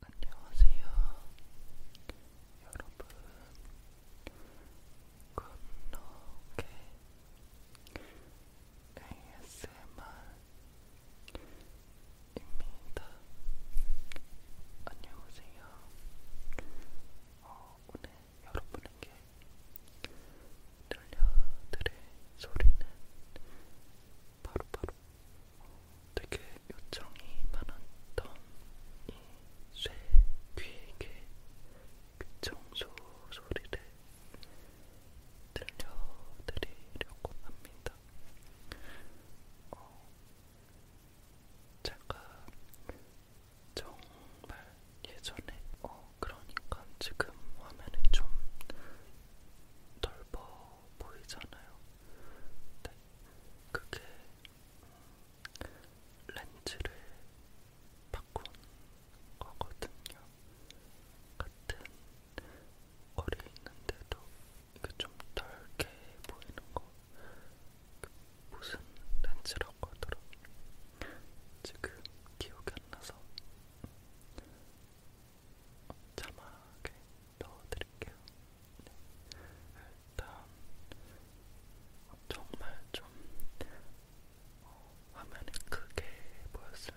안녕하세요, 여러분. 굿노게 ASMR입니다. 안녕하세요. 어, 오늘 여러분에게 들려드릴 소리는 바로바로 되게 요청이 많았던 이 쇠 귀에게 그 청소 소리를 들려드리려고 합니다. 어, 제가 정말 예전에, 어, 그러니까 지금 화면이 좀 넓어 보이잖아요. 네. 그게 음, 렌즈를 바꾼 거거든요. 같은 거리에 있는데도 이게 좀 덜게 보이는 거. 무슨 렌즈라고 하더라. 지금 기억이 안 나서 자막에 넣어드릴게요. 네. 일단 정말 좀 어, 화면이 크게 보였을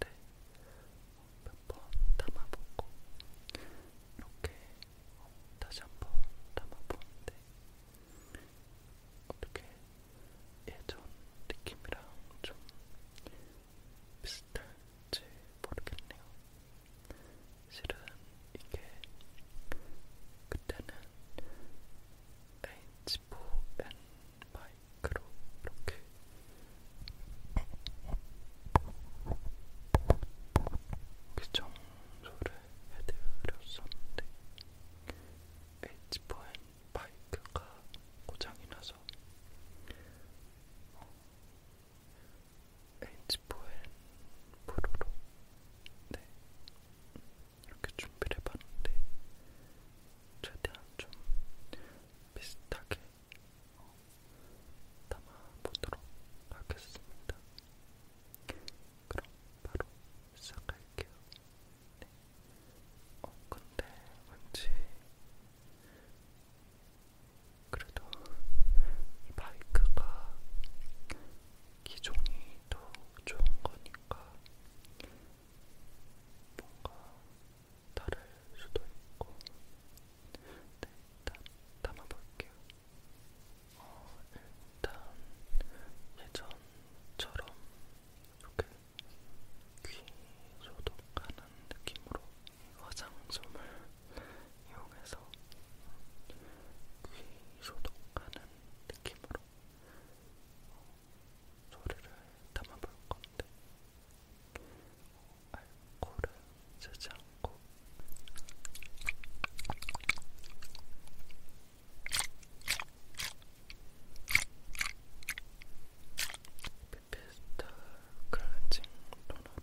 때몇번 담아보고 이렇게 어, 다시 한번 담아보는데 어떻게 예전 느낌이랑 좀 비슷할지 모르겠네요. 실은 이게 그때는 H4N 마이크로 이렇게 그 정도를 해드렸었는데 H4N 마이크가 고장이 나서 에이지포엔 포로로 네 이렇게 준비를 해봤는데 최대한 좀 비슷하게 어, 담아보도록 하겠습니다. 그럼 바로 시작할게요. 네. 어, 근데 왠지 그래도 이 마이크가 기종이 더 좋은 거니까 뭔가 다를 수도 있고 네, 일단 담아볼게요. 어, 일단 예전처럼 이렇게 귀 소독하는 느낌으로 화장솜을 이용해서 귀 소독하는 느낌으로 소리를 담아볼 건데 알코올을 쓰지 않고 비피스타 클렌징 토너를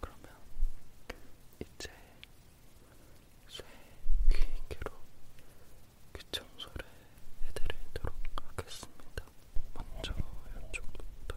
그러면 이제 쇠 귀인기로 귀청소를 해드리도록 하겠습니다. 먼저 이쪽부터.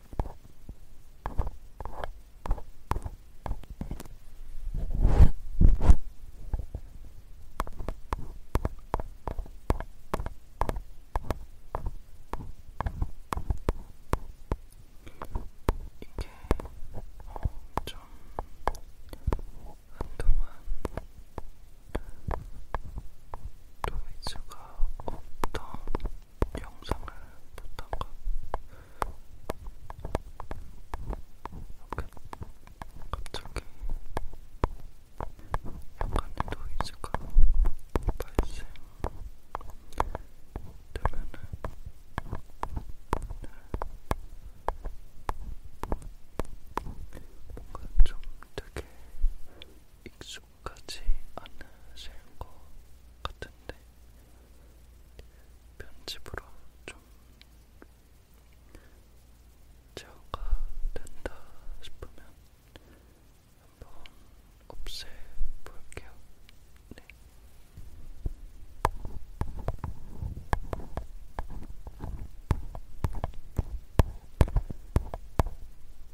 이게 좀 한동안 노이즈가 없던 영상을 보다가 갑자기 약간의 노이즈가 발생되면은 뭔가 좀 되게 익숙 가지 않으실 것 같은데 편집으로 좀 제어가 된다 싶으면 한번 없애볼게요. 네.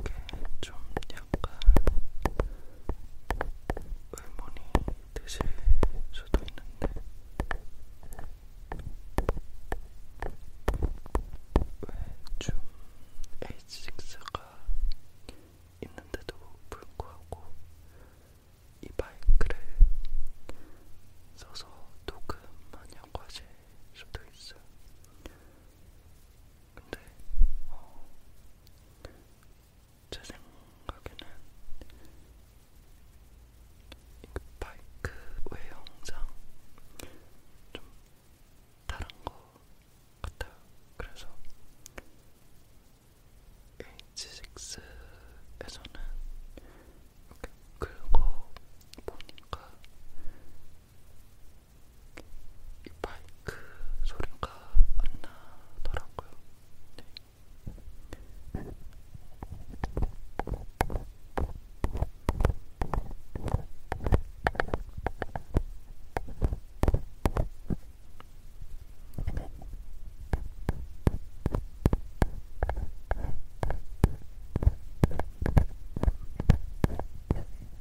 이게 좀 약간 의문이 드실 수도 있는데 왜 좀 H6가 있는데도 불구하고 이 마이크를 써서 녹음하냐고 하실 수도 있어요. 근데 어, 제 생각에는 그 바이크 외형상 좀 다른 것 같아요. 그래서 H6에서는 이렇게 긁어 보니까 이 마이크 소리가 안 나더라고요. 네.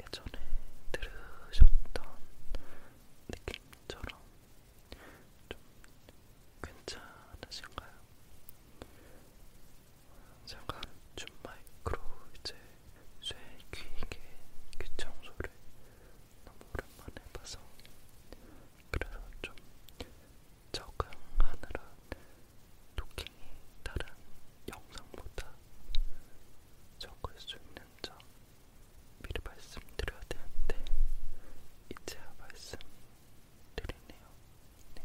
예전에 들으셨던 느낌처럼 좀 괜찮으신가요? 잠깐 줌 마이크로 이제 쇠 귀이게 귀청소를 너무 오랜만에 봐서 그래서 좀 적응하느라 토킹이 다른 영상보다 적을 수 있는 점 미리 말씀드려야 되는데 이제야 말씀드리네요. 네.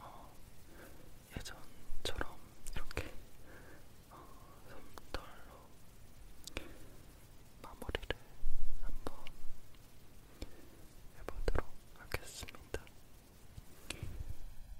어, 예전처럼 이렇게 어, 솜털로 마무리를 한번 해보도록 하겠습니다.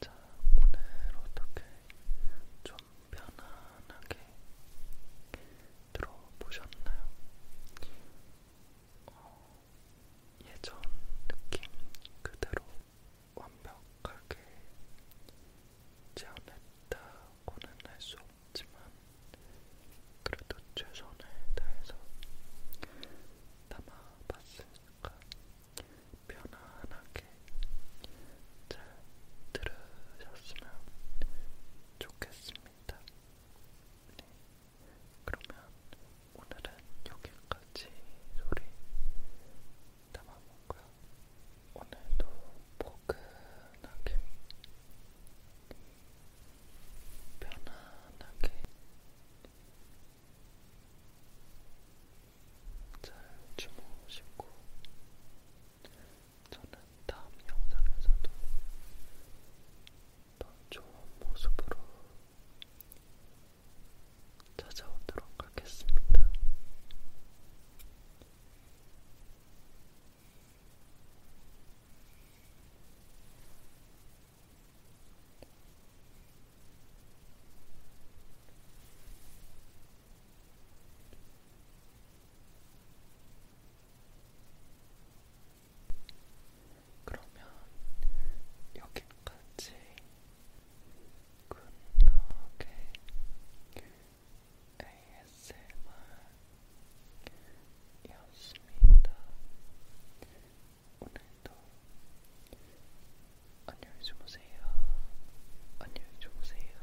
자, 오늘 어떻게 좀 편한 편안하게 들어보셨나요? 어, 예전 느낌 그대로 완벽하게 재현했다고는 할 수 없지만 그래도 최선을 다해서 담아봤으니까 편안하게 잘 들으셨으면 좋겠습니다. 있습니다. 네. 그러면 오늘은 여기까지 소리 담아볼고요. 오늘도 포근하게 편안하게 잘 주무시고 저는 다음 영상에서도 더 좋은 모습으로 찾아오도록 하겠습니다. 그러면 여기까지 굿나게 ASMR이었습니다. 오늘도 안녕히 주무세요. 안녕히 주무세요.